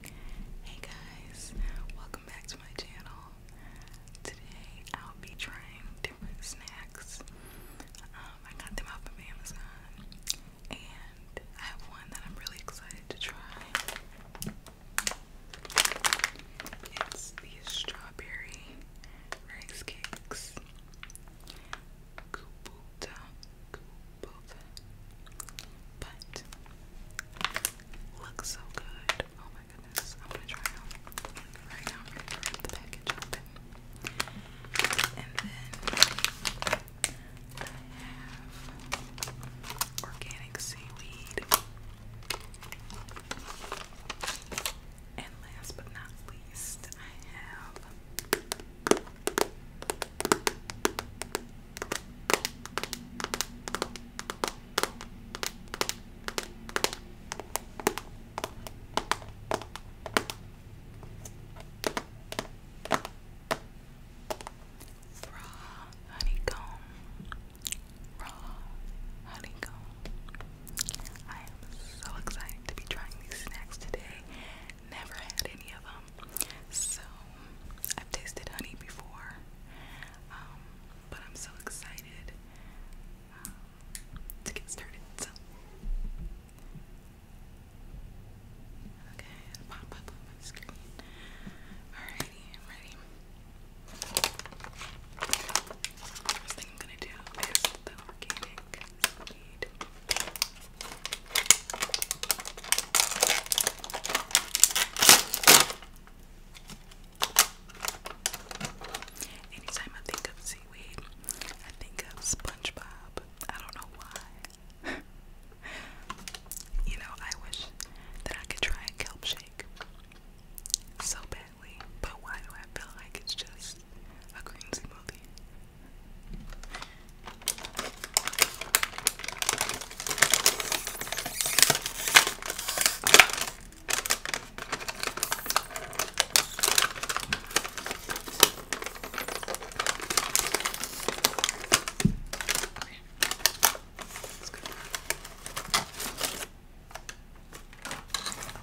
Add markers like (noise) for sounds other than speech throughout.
Hey guys, welcome back to my channel. Today I'll be trying different snacks. Um, I got them off of Amazon and I have one that I'm really excited to try. It's these strawberry rice cakes both. But looks so good. Oh my goodness. I'm gonna try them right now. the package open. And then I have organic seaweed. And last but not least, I have Raw honeycomb, raw honeycomb. I am so excited to be trying these snacks today. Never had any of them. So I've tasted honey before, um, but I'm so excited um, to get started. So. Okay, pop up on my screen. Alrighty, I'm ready. First thing I'm gonna do is the organic Anytime I think of seaweed, I think of SpongeBob. I don't know why. (laughs) you know, I wish that I could try a kelp shake so badly, but why do I feel like it's just a green smoothie? It's good. A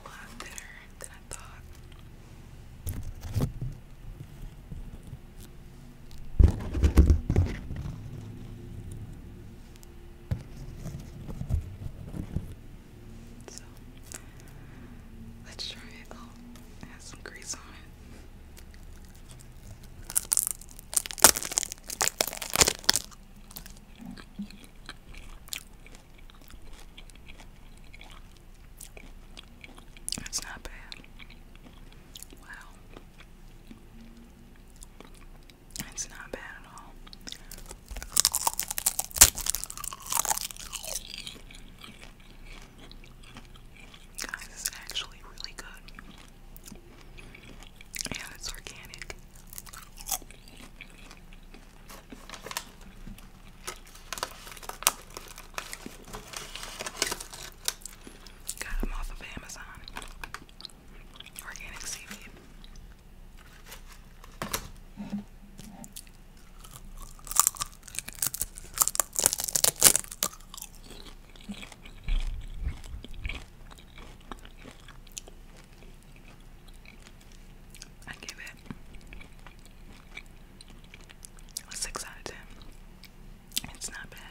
lot better than I thought. So let's try it. Oh, it has some grease on it. It's not bad. Wow. It's not bad at all. Guys, it's actually really good. And it's organic. Got them off of Amazon. Organic seaweed. I give it a six out it's not bad.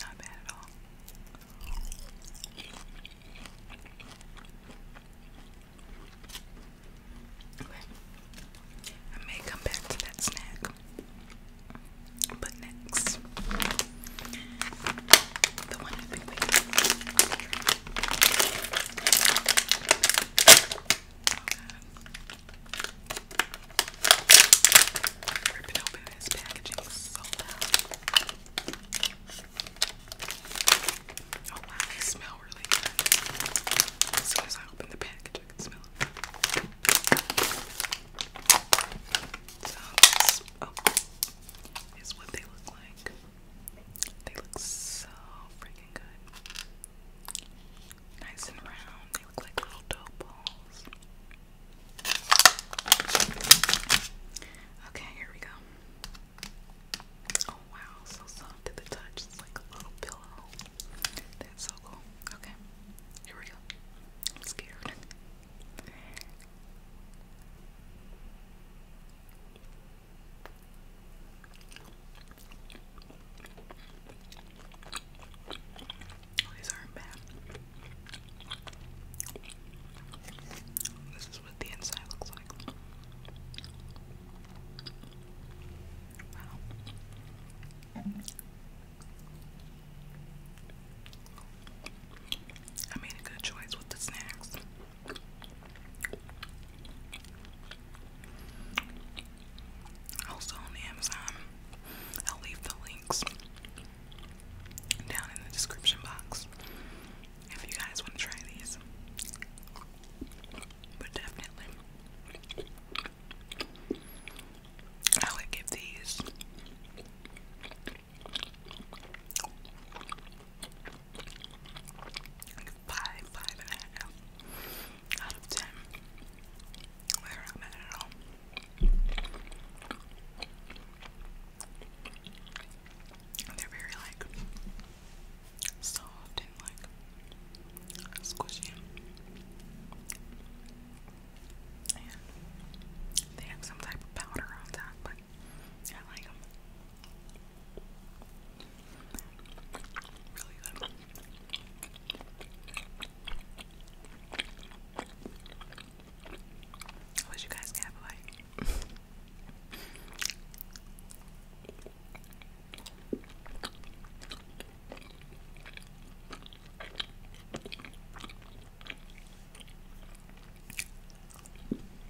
Not bad at all. I may come back to that snack, but next. The one with big baby. Oh Ripping open this packaging so loud. Oh wow, they smell really good. As soon as I open the package, I can smell it. So this oh, is what they look like they look so freaking good. Nice and round. They look like little dough balls. Okay, here we go. Oh wow, so soft to the touch. It's like a little pillow. That's so cool. Okay, here we go. I'm scared. Oh, these aren't bad. This is what the inside looks like. Wow. I made a good choice with the snacks. Also on Amazon, I'll leave the links down in the description box if you guys want to try these. But definitely, I would give these like five, five and a half out of ten. They're not bad at all. They're very like soft and like squishy. And they have some type of powder on top, but I like them. Really good. I wish you guys could have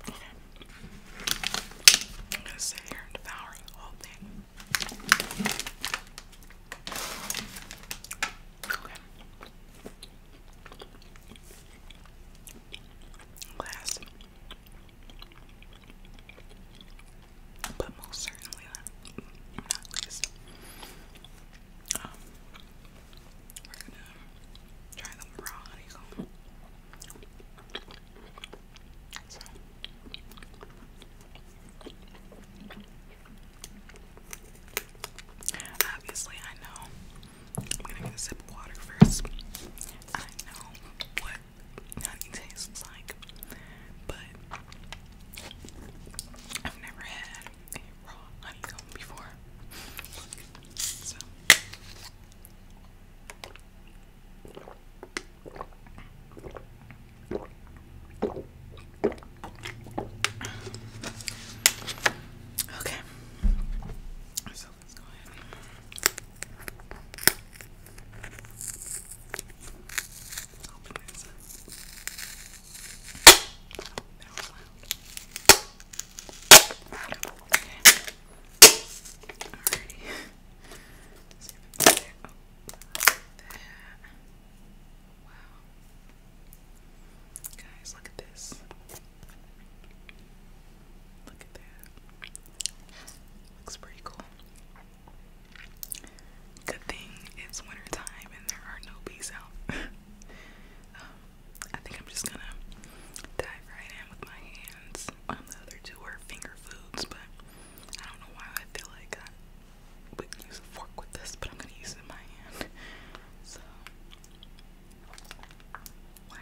I'm gonna sit here and devour the whole thing. Okay. Glass. But most certainly not, least. Um, we're gonna try them raw honeycomb. Obviously, I know. I'm gonna get a sip of water first. I know what honey tastes like, but I've never had a raw honeycomb before. Okay. So let's go ahead. open this Okay. Guys, look at this. Look at that. Looks pretty cool. Good thing it's winter time and there are no bees out. (laughs) Um, I think I'm just gonna dive right in with my hands. the other two are finger foods, but I don't know why I feel like I would use a fork with this, but I'm gonna use my hand. So, wow.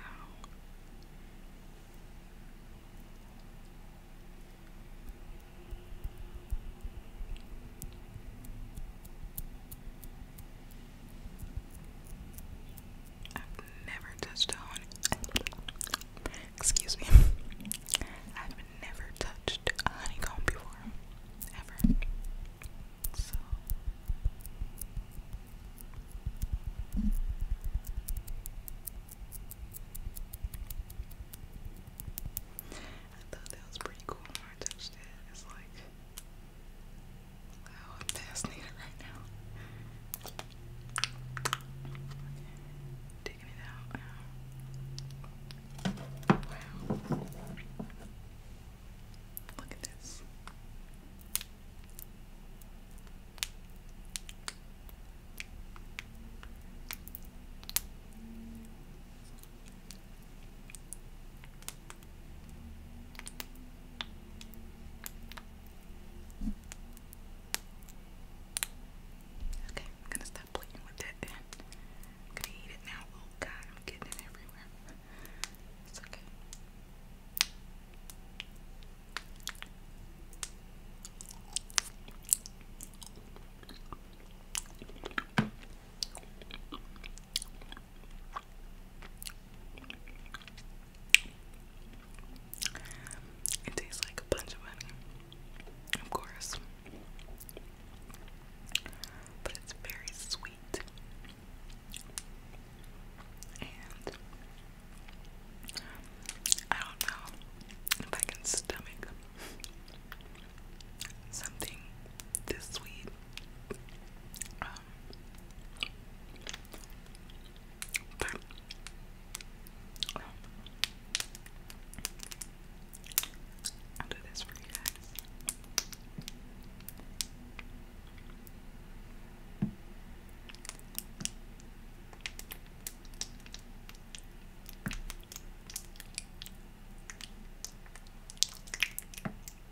I've never touched on. Excuse me. I've never touched a honeycomb before, ever. So. I thought that was pretty cool I touched it. It's like Wow, oh, I'm fascinated right now. Taking it out. Wow. Look at this. Wow. Okay, I'm gonna stop playing with that I'm gonna eat it now. Oh god, I'm getting it everywhere. It's okay. It tastes like a bunch of money, of course, but it's very sweet and I don't know if I can stomach something this sweet. Uh, but I'll do this for you guys. Okay.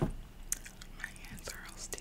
My hands are all sticky.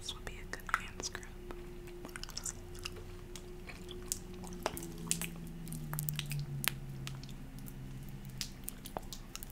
This would be a good hand scrub.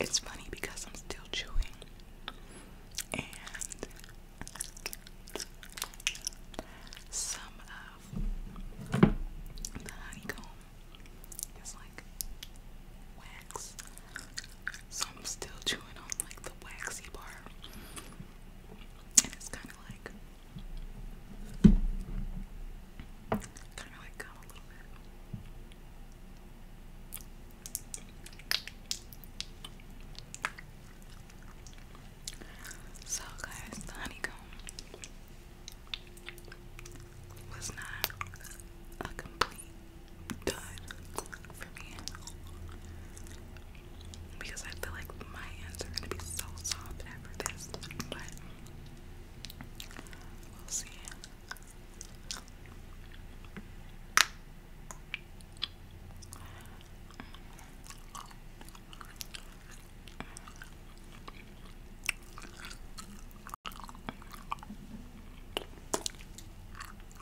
It's funny because I'm still chewing and some of the honeycomb is like wax so I'm still chewing on like the waxy bar, And it's kind of like kind of like gum a little bit. So guys, the honeycomb was not a complete done for me. Because I feel like my hands are gonna be so soft after this, but we'll see. Guys.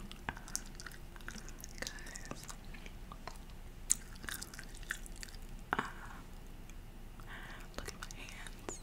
Uh, look at my hands.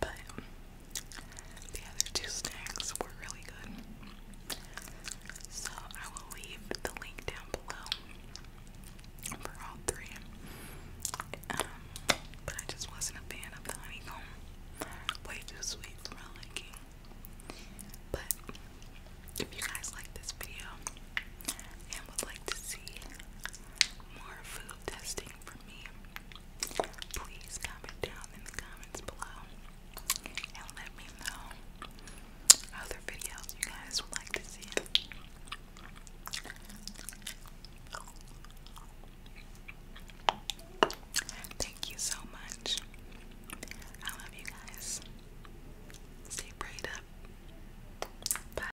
But the other two snacks were really good. So I will leave the link down below for all three. Um, but I just wasn't a fan of the honeycomb. Way too sweet for my liking. But if you guys like this video, and would like to see more food testing from me, please comment down in the comments below and let me know other videos you guys would like to see. Thank you so much. I love you guys. Stay prayed up. Bye.